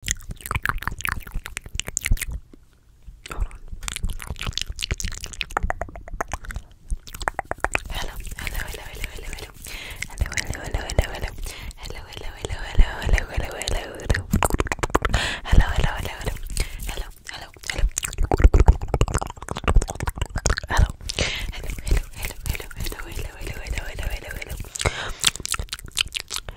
Hold on. Hello, hello, hello, hello, hello, hello. Hello, hello, hello, hello, hello. Hello, hello, hello, hello, hello, hello, hello, hello. Hello, hello, hello, hello. Hello, hello, hello. Hello. Hello, hello, hello, hello, hello, hello, hello, hello, hello, hello.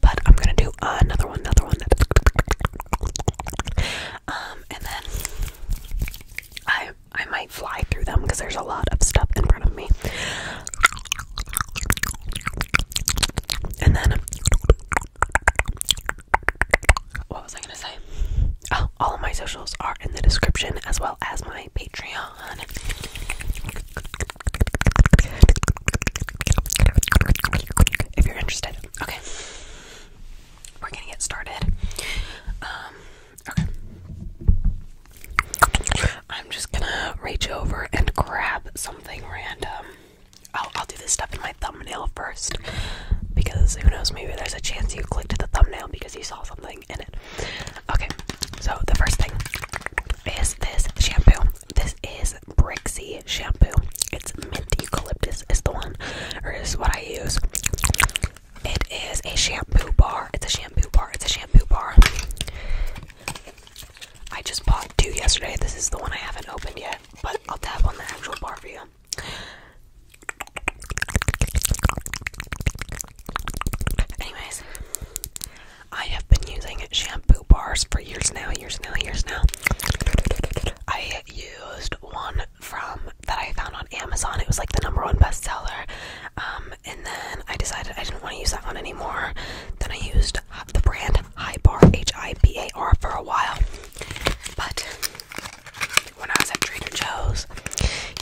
But I'm gonna do another one, another one. Um, and then I I might fly through them because there's a lot of stuff in front of me. And then what was I gonna say? Oh, all of my socials are in the description as well as my Patreon. If you're interested, okay. We're gonna get started. Um, okay. I'm just gonna reach over and grab something random. I'll, I'll do this stuff in my thumbnail first because who knows, maybe there's a chance you clicked the thumbnail because you saw something in it. Okay, so the first thing is this shampoo. This is Brixie shampoo. It's mint eucalyptus is the one, or is what I use. It is a shampoo bar. It's a shampoo bar. It's a shampoo bar. I just bought two yesterday. This is the one I haven't opened yet, but I'll tap on the actual bar for you. Anyways, I have been using shampoo bars for years now, years now, years now. I used one from that I found on Amazon. It was like the number one bestseller. Um, and then I decided I didn't want to use that one anymore. Then I used the brand Bar H-I-B-A-R, for a while. But when I was at Trader Joe's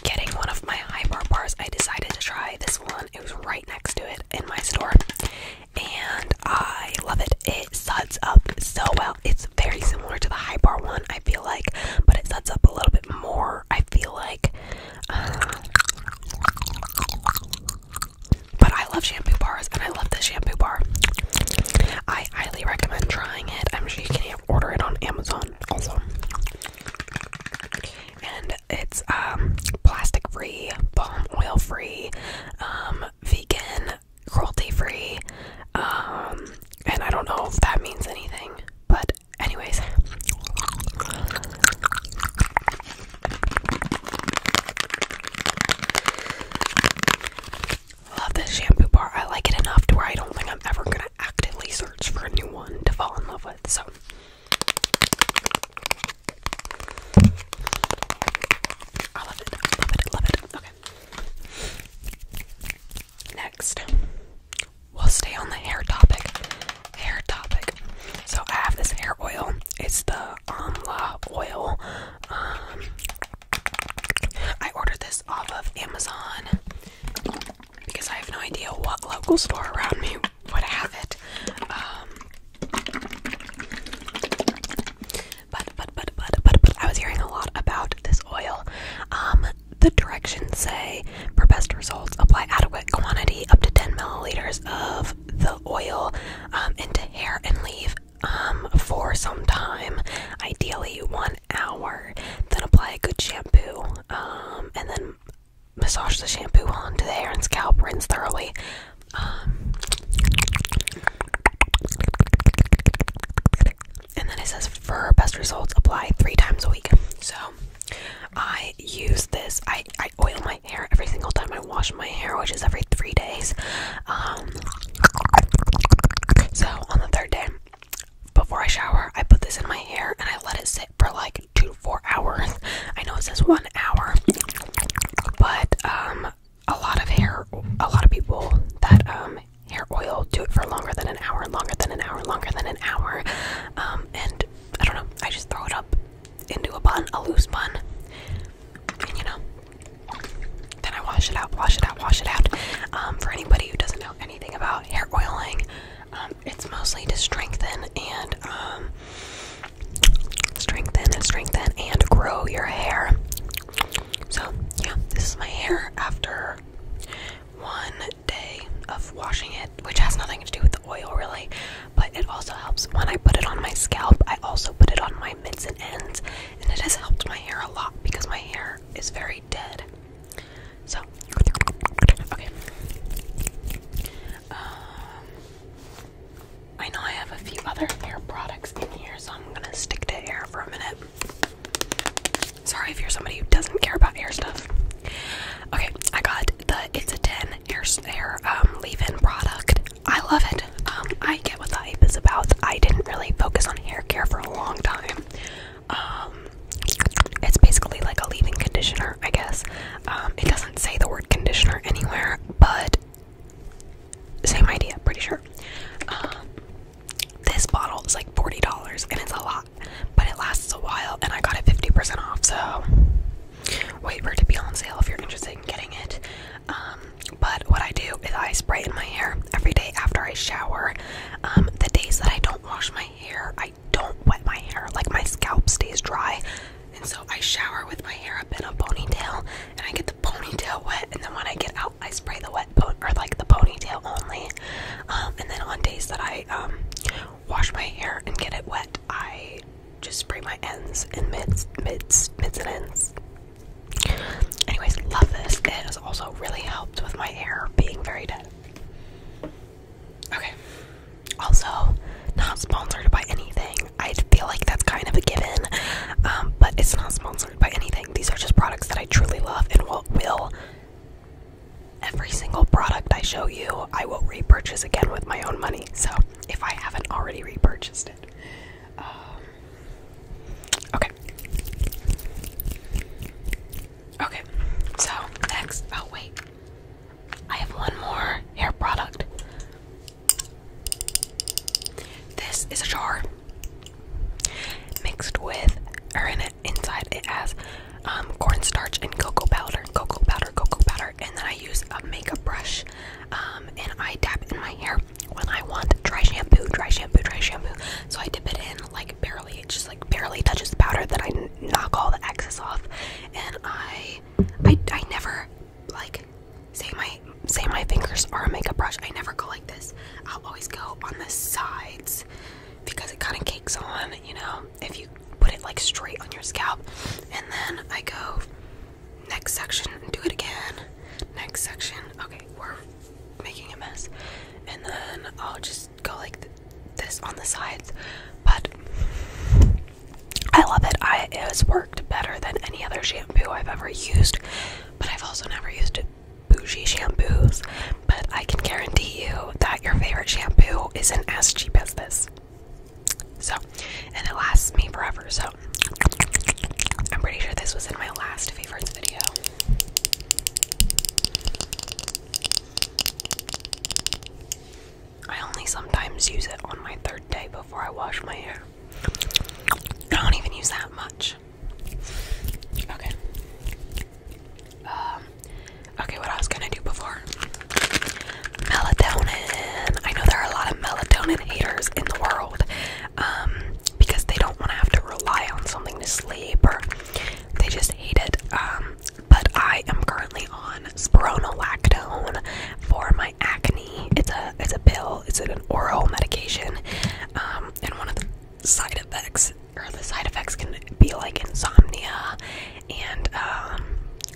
getting one of my Bar bars, I decided to try this one. It was right next to it in my store, and I love it. It suds up so well. It's very similar to the high bar one, I feel like, but it suds up a little bit more. I feel like, uh, but I love shampoo bars, and I love this shampoo bar. I highly recommend trying it. I'm sure you can order it on Amazon also and it's um, plastic free, palm oil free, um, vegan, cruelty free. Um, and I don't know if that means anything, but anyways. Love this shampoo bar. I like it enough to where I don't think I'm ever gonna actively search for a new one to fall in love with. So I love it. Love it. Love it. Okay. Next, we'll stay on the hair topic. Hair topic. So I have this hair oil. It's the Amla oil. Um, I ordered this off of Amazon because I have no idea what local store around me would have it. Um, but, but, but, but, but, I was hearing a lot about this oil. Um, the directions say, for best results, apply adequate quantity up to 10 milliliters of the oil um, into hair and leave for some time, ideally one hour. Then apply a good shampoo and then massage the shampoo onto the hair and scalp, rinse thoroughly. Um, and then it says for best results, apply three times a week. So I use this. I, I oil my hair every single time I wash my hair, which is every three days. Um, so on the third day, before I shower, I put this in my hair and I let it sit for like two to four hours. I know it says one hour, but um, a lot of hair, a lot of people that um hair oil do it for longer than an hour, longer than an hour, longer than an hour. Um, and I don't know, I just throw it up into a bun, a loose bun, and you know, then I wash it out, wash it out, wash it out. Um, for anybody who doesn't know anything about hair oiling, um, it's mostly to strengthen and um, strengthen and strengthen and grow your hair. So, yeah, this is my hair after one day of washing it, which has nothing to do with the oil really, but it also helps when I put it on my scalp. I also put it on my mids and ends, and it has helped my hair a lot because my hair is very dead. So, okay. Um, I know I have a few other hair products in here, so I'm gonna stick to hair for a minute. Sorry if you're somebody who doesn't care about hair stuff. Okay, I got the It's a 10 hair, hair um, leave-in product. I love it. Um, I get what the hype is about. I didn't really focus on hair care for a long time. Um, it's basically like a leave-in conditioner, I guess. Um, it doesn't say the word conditioner anywhere, but same idea, pretty sure. Um, this bottle is like $40 and it's a lot, but it lasts a while and I got it 50% off, so wait for it to be on sale if you're interested in getting it. Um, but what I do is I spray in my hair every day after I shower. the days that I don't wash my hair, I don't wet my hair. Like my scalp stays dry, and so I shower with my hair up in a ponytail, and I get the ponytail wet. And then when I get out, I spray the wet or like the ponytail only. Um, and then on days that I um, wash my hair and get it wet, I just spray my ends and mids, mids, mids and ends. Anyways, love this. It has also really helped with my hair being very dead. Okay. Also, not sponsored by anything. I feel like that's kind of a given, um, but it's not sponsored by anything. These are just products that I truly love and will, will. Every single product I show you, I will repurchase again with my own money. So, if I haven't already repurchased it, um, okay. Okay, so next, oh wait, I have one more hair product. This is a jar mixed with, or in it, inside it has um, cornstarch and cocoa powder, cocoa powder, cocoa powder, and then I use a makeup brush um, and I dab it in my hair when I want dry shampoo, dry shampoo, dry shampoo. So I dip it in like barely, it just like barely touches the powder then I knock all the excess off, and I I I never like say my say my fingers are a makeup brush. I never go like this. I'll always go on the sides because it kind of cakes on, you know, if you put it like straight on your scalp. And then I go next section do it again. Next section. Okay, we're making a mess. And then I'll just go like this on the sides. But I love it. it has worked better than any other shampoo I've ever used, but I've also never used bougie shampoos. But I can guarantee you that your favorite shampoo isn't as cheap as this. So, and it lasts me forever. So, I'm pretty sure this was in my last favorites video. I only sometimes use it on my third day before I wash my hair. I don't even use that much. Okay. Um, okay, what I was gonna do before melatonin. I know there are a lot of melatonin haters in the world um, because they don't want to have to rely on something to sleep or they just hate it. Um, but I am currently on spironolactone for my acne. It's a it's a pill. It's an oral medication, um, and one of the side effects or the side effects can be like insomnia and um,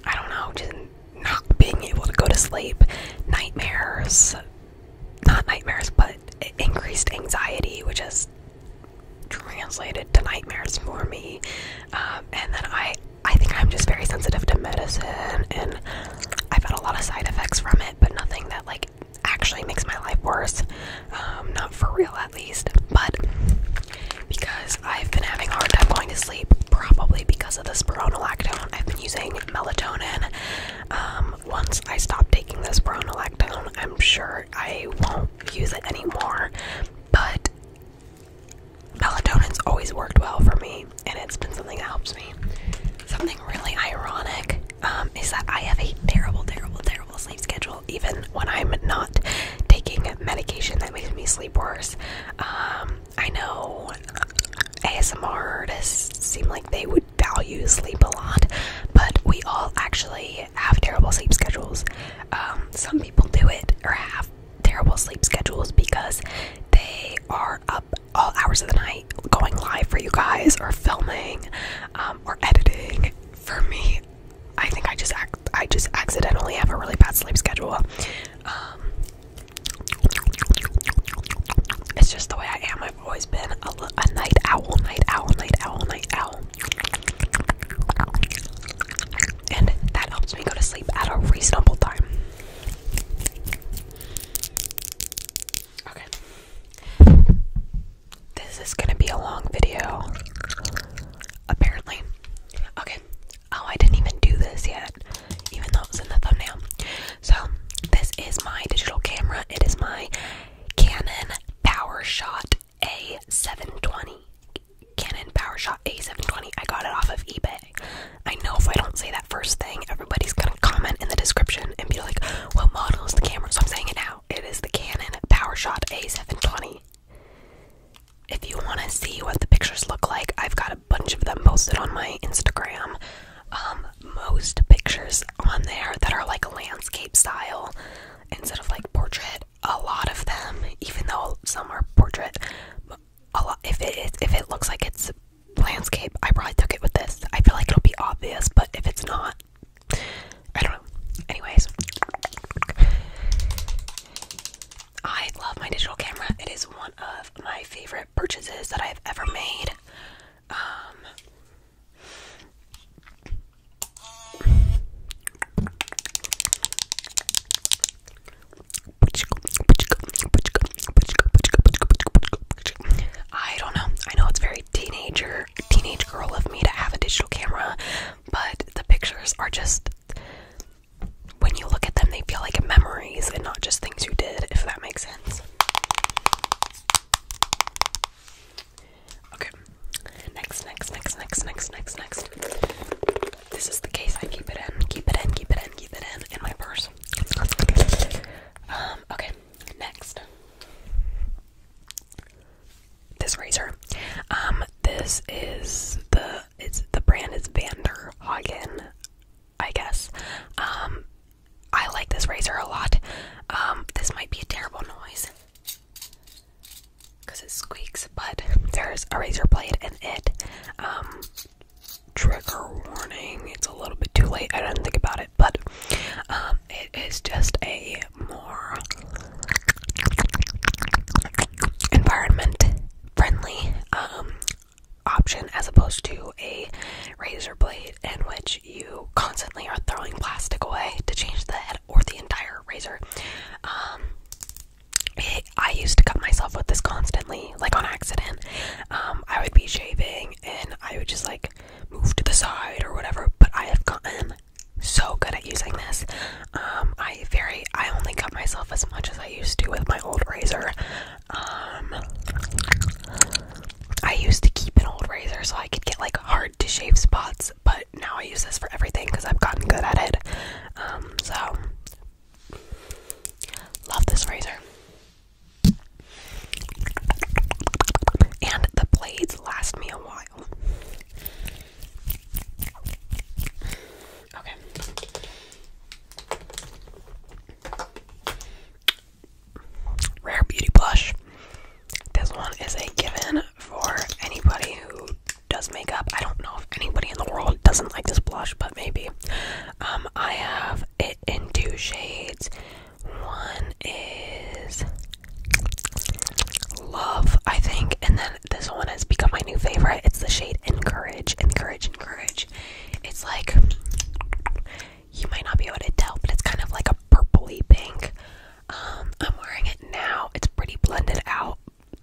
I don't know, just not being able to go to sleep, nightmares, not nightmares, but increased anxiety, which is translated to nightmares for me. Um, and then I I think I'm just very sensitive to medicine and I've had a lot of side effects from it, but nothing that like actually makes my life worse. Um, not for real at least. But because I've been having a hard time going to sleep, probably because of the spironolactone, I've been using melatonin. Um, once I stop taking this spironolactone, I'm sure I won't use it anymore. But Melatonin's always worked well for me, and it's been something that helps me. Something really ironic um, is that I have a terrible, terrible, terrible sleep schedule, even when I'm not taking medication that makes me sleep worse. Um, I know ASMR artists seem like they would value sleep a lot, but we all actually have terrible sleep schedules. Um, some people do it or have terrible sleep schedules because they are up all hours of the night going live for you guys or filming um, or editing for me i think i just act i just accidentally have a really bad sleep schedule um, it's just the way i am i've always been a night owl night owl night owl night owl and that helps me go to sleep at a reasonable time. Okay. This is gonna be a long video. Apparently. Okay. Oh, I didn't even do this yet, even though it was in the thumbnail. So, this is my digital camera. It is my Canon PowerShot A720. Canon PowerShot A720. I got it off of eBay. I know if I don't say that first thing, everybody's gonna comment in the description and be like, "What model is the camera?" So I'm saying it now. It is the Canon PowerShot A720. If you want to see what the pictures look like, I've got a bunch of them posted on my Instagram. Um, most pictures on there that are like landscape style instead of like portrait a lot of them, even though some are portrait. A lot, if it is, if it looks like it's landscape, I probably took it with this. I feel like it'll be obvious, but if it's not, I don't know. Anyways, I love my digital camera. It is one of my favorite purchases that I've ever made. Um, I don't know. I know it's very teenager, teenage girl of me to have a digital camera, but the pictures are just when you look at them, they feel like memories and not just things you did, if that makes sense. Okay. Next, next, next, next, next, next, next. This is the case I keep it in. Keep it in, keep it in, keep it in, in my purse. Um, okay, next. This razor. Um, this is the it's the brand is Vanderhagen, I guess. Um I like this razor a lot. Um, this might be a terrible noise because it squeaks, but there's a razor blade in it. Um, trigger warning, it's a little bit too late, I didn't think about it, but um, it is just a more environment friendly um, option as opposed to a razor blade in which you constantly are throwing plastic away to change the head or the entire razor. I used to cut myself with this constantly, like on accident. Um, I would be shaving and I would just like move to the side or whatever. But I have gotten so good at using this. Um, I very I only cut myself as much as I used to with my old razor. Um, I used to keep an old razor so I could get like hard to shave spots, but now I use this for everything because I've gotten good at it. Um, so, love this razor. And the blades last me a while. Okay. Rare Beauty Blush. This one is a given for anybody who does makeup. I don't know if anybody in the world doesn't like this blush, but maybe. Um, I have it in two shades. One is Love, I think, and then this one has become my new favorite. It's the shade Encourage, Encourage, Encourage. It's like you might not be able to tell, but it's kind of like a purpley pink. Um, I'm wearing it now. It's pretty blended out,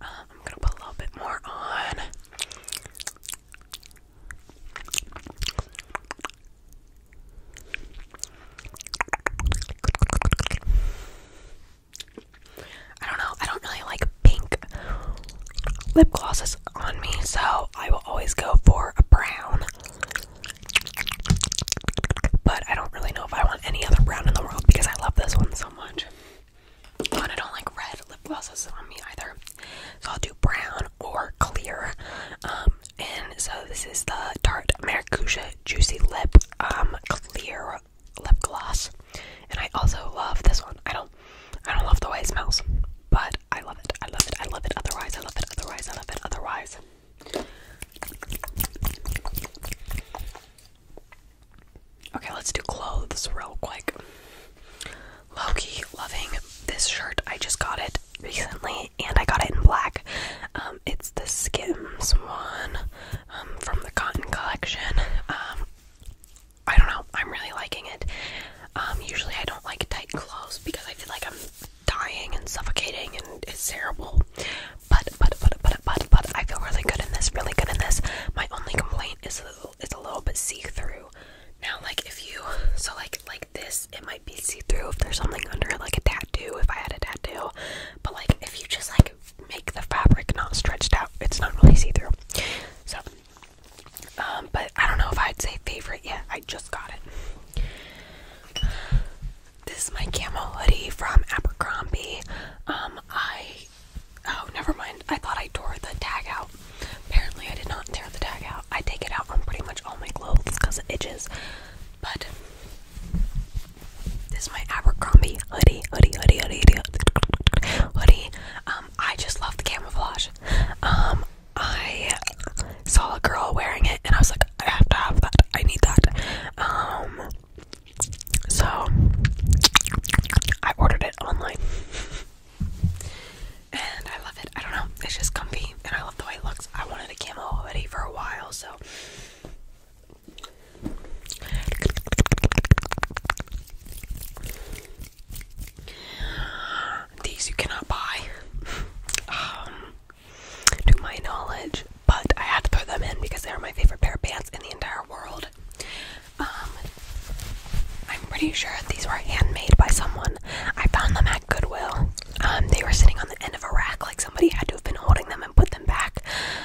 Um, I'm gonna put a little bit more on. I don't know, I don't really like pink lip glosses on me, so I will always go for a brown. But I don't really know if I want any other brown in the world because I love this one so much. I don't like red lip glosses on me either. So I'll do brown or clear. Um, and so this is the Tarte Maracuja Juicy Lip um, Clear Lip Gloss. And I also love this one. I don't I don't love the way it smells, but I love it. I love it. I love it otherwise. I love it otherwise. I love it otherwise. Okay, let's do clothes real quick. Loki, loving this shirt. I just got it recently, and I got it in black. Um, it's the Skims one um, from the Cotton Collection. Um, I don't know. I'm really liking it. usually, I don't like tight clothes because I feel like I'm dying and suffocating, and it's terrible. But but but but but but I feel really good in this. Really good in this. My only complaint point a little, it's a little bit see-through. Now, like if you, so like like this, it might be see-through if there's something under it, like a tattoo. If I had a tattoo, but like if you just like make the fabric not stretched out, it's not really see-through. So, um, but I don't know if I'd say favorite yet. I just got it. This is my camel hoodie from Abercrombie. Um, I Oh, never mind. I thought I tore the tag out. Apparently, I did not tear the tag out. I take it out on pretty much all my clothes because it itches. But this is my Abercrombie hoodie, hoodie, hoodie, hoodie, hoodie. hoodie. Um, I just love the camouflage. Um, I saw a girl wearing it, and I was like, I have to have that. I need that. Um, so I ordered it online. And I love it. I don't know. It's just comfy and I love the way it looks. I wanted a camel already for a while, so these you cannot buy. Um, to my knowledge, but I had to throw them in because they're my favorite pair of pants in the entire world. Um, I'm pretty sure these were handmade by someone. I found them at Goodwill. Um, they were sitting on the end of a rack, like somebody had to have been holding them and put them back.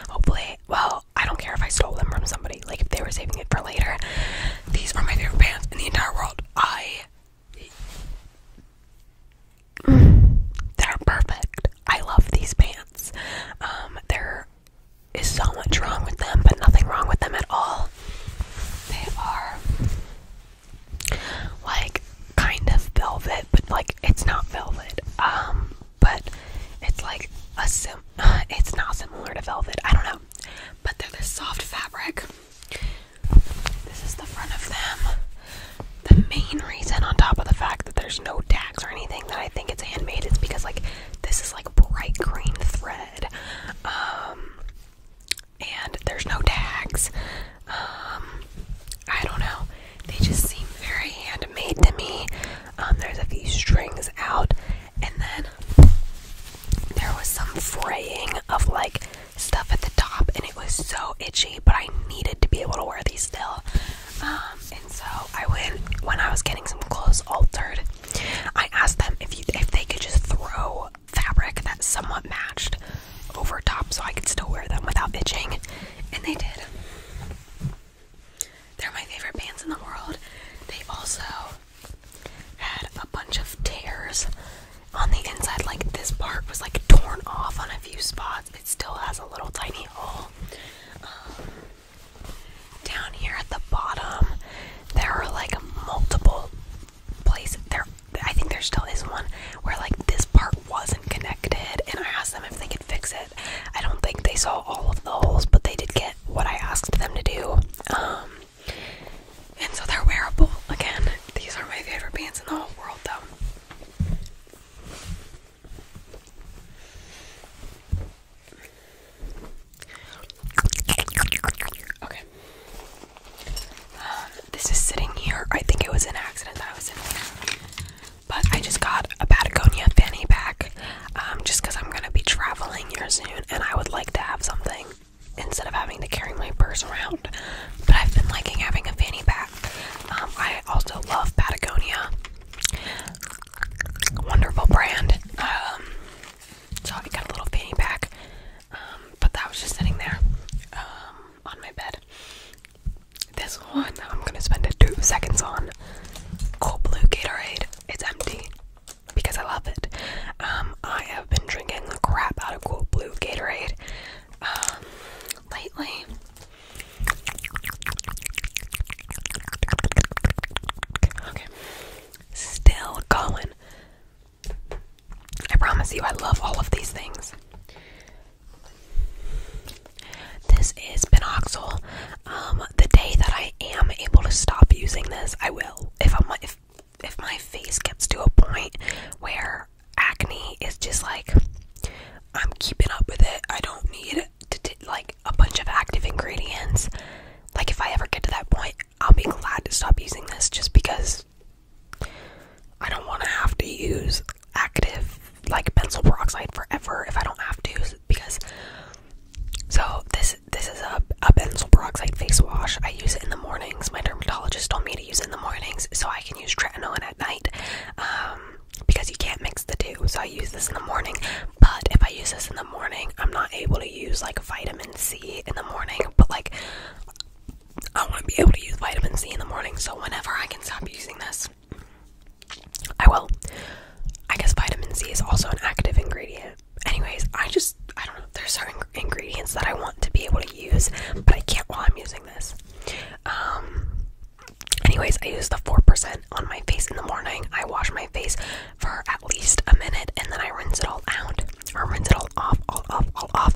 Hopefully, well, I don't care if I stole them from somebody, like if they were saving it for later. These are my favorite pants in the entire world. I. They're perfect. I love these pants. Um, they're is so much wrong with them, but nothing wrong with them at all. They are like kind of velvet, but like it's not velvet. Um, but it's like a sim. It's not similar to velvet. I don't know, but they're this soft fabric. This is the front of them. The main reason, on top of the fact that there's no tags or anything, that I think it's handmade is because like this is like bright green thread um, and there's no tags. Um, I don't know. They just seem very handmade to me. Um, there's a few strings out, and then there was some fraying of like stuff at the top, and it was so itchy. But I needed to be able to wear these still. and so I went when I was getting some clothes altered. I asked them if they could just throw fabric that somewhat matched over top so I could still wear them without itching, and they did. They're my favorite pants in the world. They also had a bunch of tears on the inside, like this part was like torn off on a few spots. It still has a little tiny hole. Um, down here at the bottom, there are like multiple places. There, I think there still is one where like this part wasn't connected, and I asked them if they could fix it. I don't think they saw all of the holes, but they did get what I asked them to do. Um, and so they're wearable. Again, these are my favorite pants in the whole world, though. Okay. Um, this is sitting here. I think it was an accident that I was in here. But I just got a Patagonia fanny pack um, just because I'm going to be traveling here soon and I would like to have something instead of having to carry my purse around. But I've been liking having a fanny pack. Um, I also love Patagonia. Wonderful brand. So I have got a little fanny pack, um, but that was just sitting there um, on my bed. This one I'm gonna spend a two seconds on. Cold Blue Gatorade. It's empty because I love it. Um, I have been drinking the crap out of Cold Blue Gatorade lately. Okay, Still going. I promise you, I love all of these things. This is Benoxyl. Um, the day that I am able to stop using this, I will. If I'm if if my face gets to a point where acne is just like I'm keeping up with it, I don't need it to, to like a bunch of active ingredients. Like if I ever get to that point, I'll be glad to stop using this just because I don't want to have to use active like benzyl peroxide forever if I don't have to because so this this is a, a benzyl peroxide face wash. I use it in the mornings. My dermatologist told me to use it in the mornings so I can use tretinoin at night um, because you can't mix the two. So I use this in the morning. But if I use this in the morning. I'm not able to use like vitamin C in the morning, but like I want to be able to use vitamin C in the morning. So whenever I can stop using this, I will. I guess vitamin C is also an active ingredient. Anyways, I just I don't know. There's certain ingredients that I want to be able to use, but I can't while I'm using this. Um. Anyways, I use the 4% on my face in the morning. I wash my face for at least a minute and then I rinse it all out or rinse it all off, all off, all off.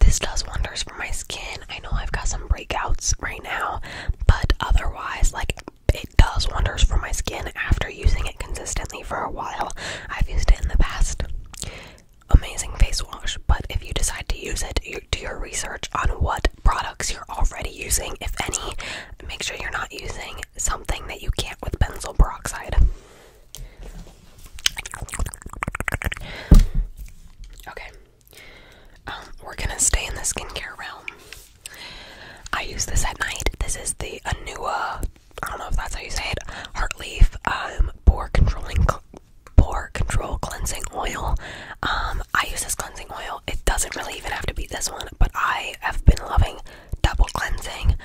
This does wonders for my skin. I know I've got some breakouts right now, but otherwise, like, it does wonders for my skin after using it consistently for a while. I've used it in the past. Amazing face wash, but if you decide to use it, do your research on what products you're already using, if any. Make sure you're not using something that you can't with benzoyl peroxide. Okay, um, we're gonna stay in the skincare realm. I use this at night. This is the Anua. I don't know if that's how you say it. Heartleaf um, pore controlling pore control cleansing oil. Um, I use this cleansing oil. It doesn't really even have to be this one, but I have been loving double cleansing,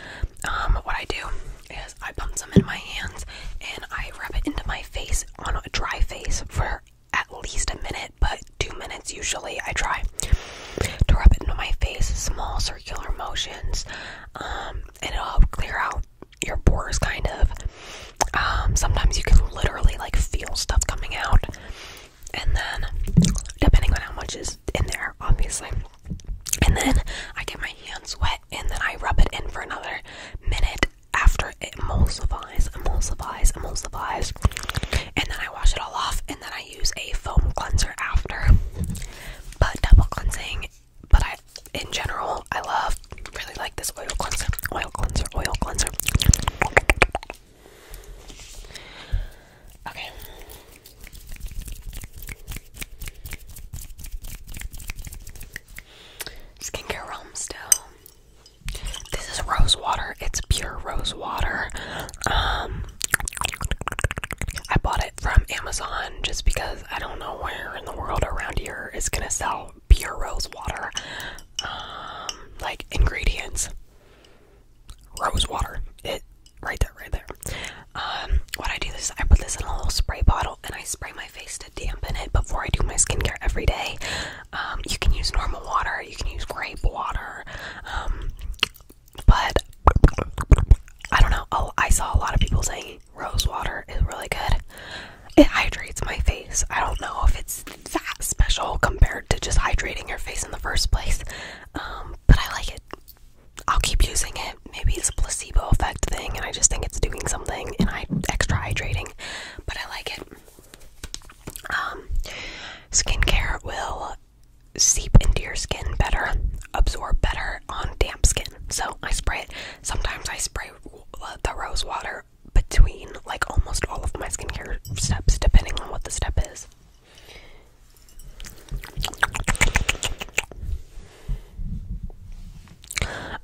um, what I do is I pump some in my hands and I rub it into my face on a dry face for at least a minute, but two minutes usually. I try to rub it into my face, small circular motions, um, and it'll clear out your pores kind of. Um, sometimes you can literally like feel stuff coming out and then depending on how much is in there, obviously. And then I get my hands wet, and then I rub it in for another minute after it emulsifies, emulsifies, emulsifies, and then I wash it all off, and then I use a foam cleanser after. But double cleansing, but I, in general, I love, really like this oil cleanser, oil cleanser, oil cleanser. Okay. Skincare realm still. This is rose water. It's pure rose water. Um I bought it from Amazon just because I don't know where in the world around here is gonna sell pure rose water. Um like ingredients rose water. It right there, right there. Um, what I do is I put this in a little spray bottle and I spray my face to dampen it before I do my skincare every day. Um, you can use normal water, you can use grape water, um, but I don't know. Oh, I saw a lot of people saying rose water is really good. It hydrates my face. I don't know if it's that special compared to just hydrating your face in the first place but I like it. I'll keep using it. Maybe it's a placebo effect thing, and I just think it's doing something, and I extra hydrating, but I like it. Um, skincare will seep into your skin better, absorb better on damp skin. So I spray it. Sometimes I spray uh, the rose water between like almost all of my skincare steps, depending on what the step is.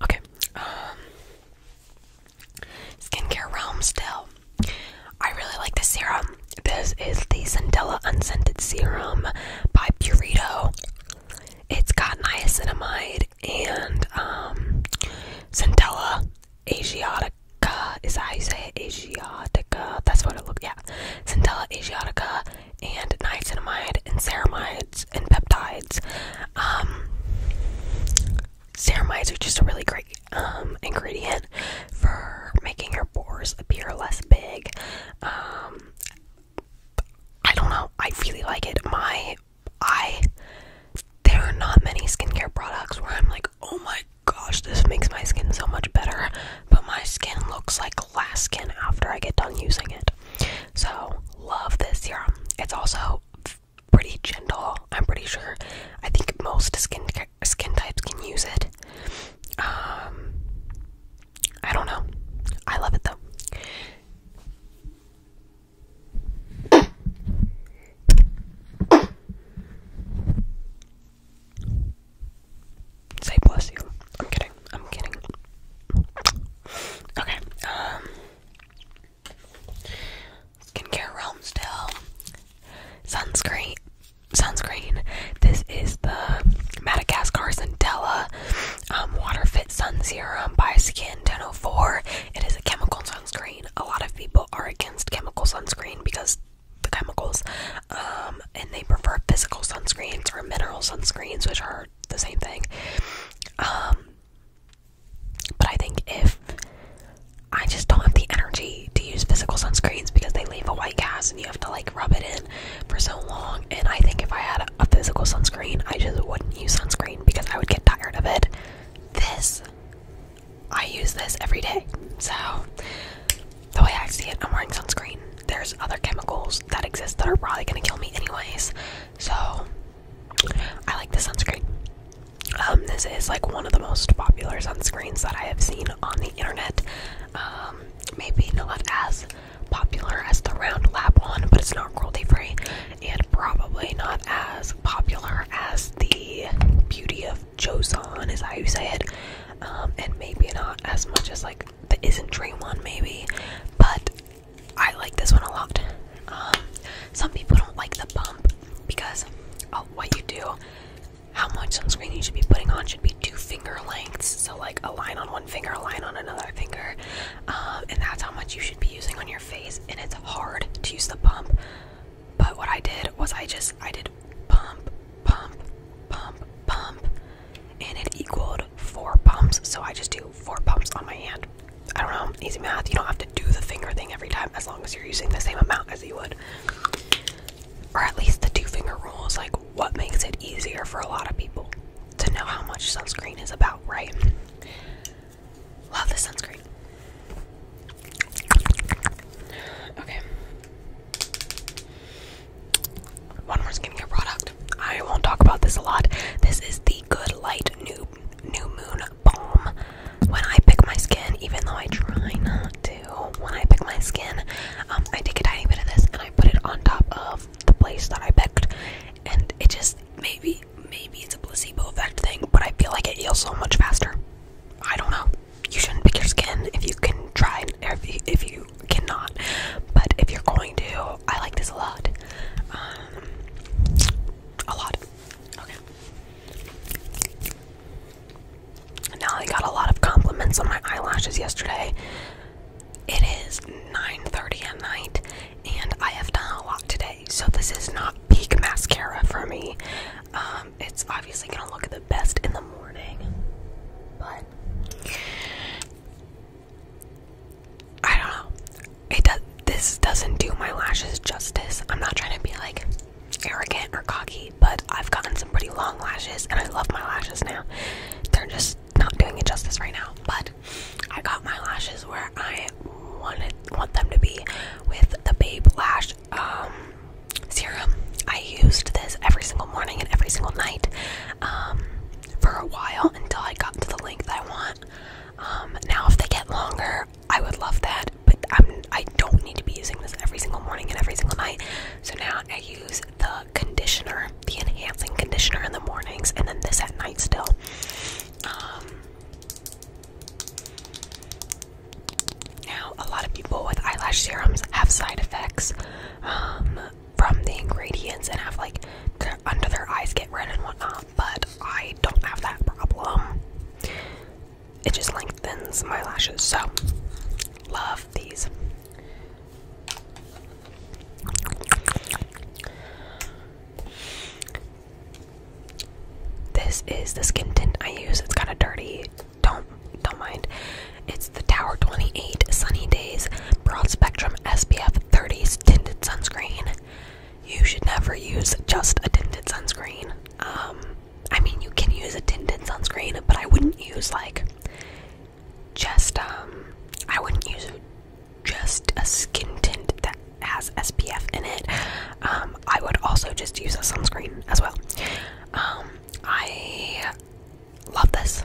Okay, um, skincare realm still. I really like this serum. This is the Centella Unscented Serum by Purito. It's got niacinamide and um, Centella asiata. Is how you say Asiatica. That's what it looks. Yeah, Centella asiatica and niacinamide and ceramides and peptides. Um, ceramides are just a really great um ingredient for making your pores appear less big. Um, I don't know. I really like it. My I there are not many skincare products where I'm like oh my gosh, this makes my skin so much better. But my skin looks like glass skin after I get done using it. So, love this serum. It's also pretty gentle, I'm pretty sure. I think most skin skin types can use it. Um, I don't know. I love it though. Say bless you. I'm kidding. I'm kidding. Okay. Um. Skincare realm still. Sunscreen. Sunscreen. This is the Madagascar Centella um, Water Fit Sun Serum by Skin 1004. It is a chemical sunscreen. A lot of people are against chemical sunscreen because the chemicals, um, and they prefer physical sunscreens or mineral sunscreens, which are the same thing. Um, but I think if I just don't have the energy to use physical sunscreens because they leave a white cast and you have to like rub it in for so long, and I think if I had a physical sunscreen, I just wouldn't use sunscreen because I would get tired of it. This I use this every day. So, the way I see it, I'm wearing sunscreen. There's other chemicals that exist that are probably gonna kill me, anyways. So, I like the sunscreen. Um, this is like one of the most popular sunscreens that I have seen on the internet. Um, maybe not as popular as the Round Lab one, but it's not cruelty free, and probably not as popular as the Beauty of Joseon is how you say it, and maybe not as much as like the isn't Dream Draymond maybe, but I like this one a lot. Um, some people don't like the bump because oh, what you do, how much sunscreen you should be putting on should be two finger lengths, so like a line on one finger, a line on another finger, um, and that's how much you should be using on your face. And it's hard to use the pump but what I did was I just I did pump, pump, pump, pump, and it equaled four pumps. So I just do four pumps on my hand. I don't know, easy math. You don't have to do the finger thing every time as long as you're using the same amount as you would. Or at least the two finger rule is like what makes it easier for a lot of people to know how much sunscreen is about, right? Love the sunscreen. Okay. One more skincare product. I won't talk about this a lot. This is the Good Light New New Moon Balm. When I pick my skin, even though I try not to, when I pick my skin, um, I take a tiny bit of this and I put it on top of the place that I picked, and it just maybe maybe it's a placebo effect thing, but I feel like it heals so much faster. I don't know you shouldn't pick your skin if you can try or if you, if you cannot. But if you're going to, I like this a lot. Um, a lot. Okay. Now I got a lot of compliments on my eyelashes yesterday. It is 9:30 at night, and I have done a lot today, so this is not peak mascara for me. Um, um, it's obviously gonna look the best in the morning, but I don't know. It does. This doesn't do my lashes justice. I'm not trying to be like arrogant or cocky, but I've gotten some pretty long lashes, and I love my lashes now. They're just not doing it justice right now, but I got my lashes where I wanted want them to be with the Babe Lash um, serum. I used this every single morning and every single night um, for a while until I got to the length I want. Um, now, if they get longer, I would love that, but I'm, I do not need to be using this every single morning and every single night. So now I use the conditioner, the enhancing conditioner in the mornings, and then this at night still. Now, a lot of people with eyelash serums have side effects um, from the ingredients and have like their, under their eyes get red and whatnot, but I don't have that problem. It just lengthens my lashes, so love these. This is the skin tint I use. It's kind of dirty don't don't mind. It's the Tower 28 Sunny Days Broad Spectrum SPF 30 tinted sunscreen. You should never use just a tinted sunscreen. Um, I mean, you can use a tinted sunscreen, but I wouldn't use like just um, I wouldn't use just a skin tint that has SPF in it. Um, I would also just use a sunscreen as well. Um, I love this.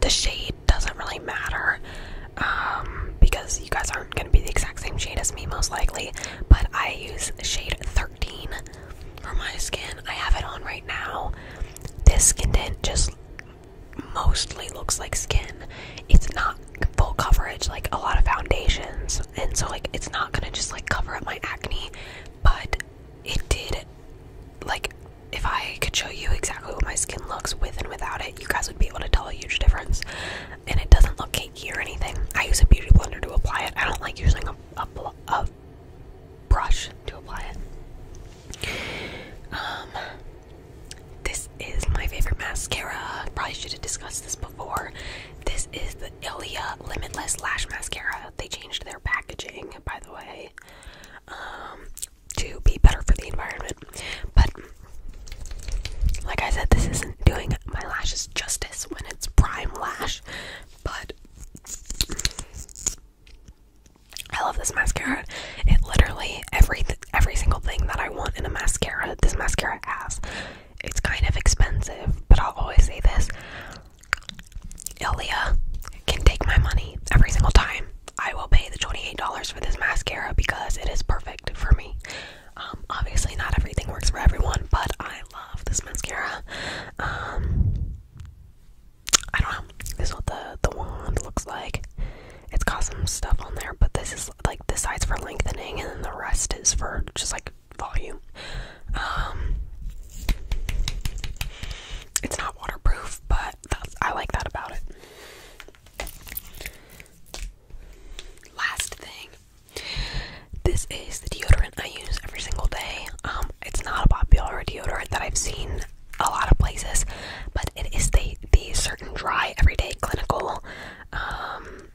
The shade doesn't really matter um, because you guys aren't going to be the exact same shade as me, most likely. But I use shade 13 for my skin. I have it on right now. This skin tint just mostly looks like skin. It's not full coverage like a lot of foundations, and so like it's not gonna just like cover up my acne but it did like if I could show you exactly what my skin looks with and without it, you guys would be able to tell a huge difference. And it doesn't look cakey or anything. I use a beauty blender to apply it. I don't like using a, brush to apply it. Um, this is my favorite mascara. Probably should have discussed this before. This is the the Limitless Lash Mascara. They changed their packaging, by the way, um, to be better for the environment. But like I said, this isn't doing my lashes justice when it's prime lash. But I love this mascara. It literally every every single thing that I want in a mascara, this mascara has. It's kind of expensive, but I'll always say this Ilia can take my money every single time. I will pay the $28 for this mascara because it is perfect for me. Um, obviously, not everything works for everyone, but I love this mascara. Um, I don't know. This is what the, the wand looks like. It's got some stuff on there, but this is like the size for lengthening, and then the rest is for just like volume. Um, it's not waterproof, but I like that about it. Last thing, this is the deodorant I use every single day. Um, it's not a popular deodorant that I've seen a lot of places, but it is the the certain dry everyday clinical um,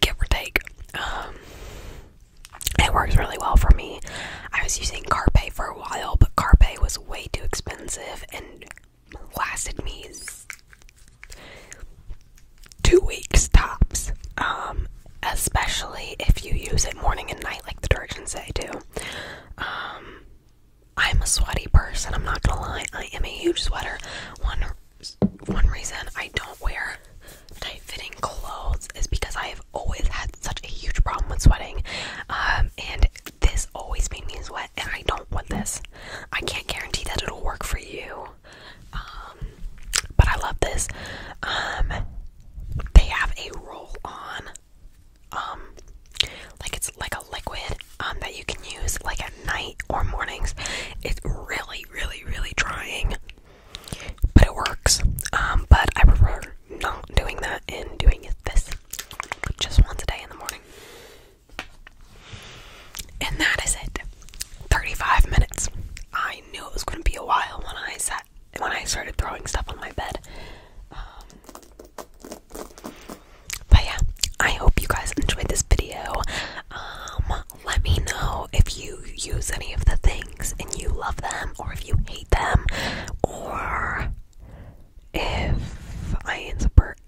give or take. Um, it works really well for me. I was using Carpe for a while, but Carpe was way too expensive and lasted me two weeks tops. Um, especially if you use it morning and night, like the directions say do. Um, I'm a sweaty person, I'm not gonna lie. I am a huge sweater one reason I don't wear tight fitting clothes is because I have always had such a huge problem with sweating. Um, and this always made me sweat, and I don't want this. I can't guarantee that it'll work for you. Um, but I love this. Um, they have a roll on, like it's like a liquid, that you can use like at night or mornings. It really really, really, trying. But it works. Um, but I prefer not doing that and doing it this just once a day in the morning. And that is it. 35 minutes. I knew it was going to be a while when I sat when I started throwing stuff on my bed. Um, but yeah, I hope you guys enjoyed this video. Um, let me know if you use any of the things and you love them, or if you hate them, or if I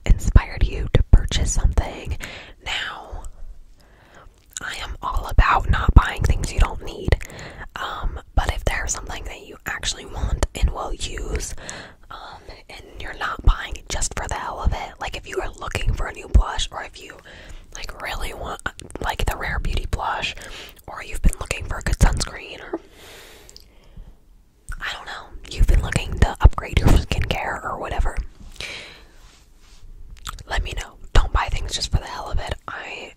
inspired you to purchase something. Now, I am all about not buying things you don't need. Um, but if there's something that you actually want and will use, um, you're not buying just for the hell of it. Like if you are looking for a new blush or if you like really want like the rare beauty blush or you've been looking for a good sunscreen or I don't know, you've been looking to upgrade your skincare or whatever. Let me know. Don't buy things just for the hell of it. I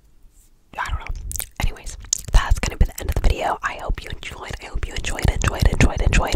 I don't know. Anyways, that's gonna be the end of the video. I hope you enjoyed. I hope you enjoyed, enjoyed, enjoyed, enjoyed.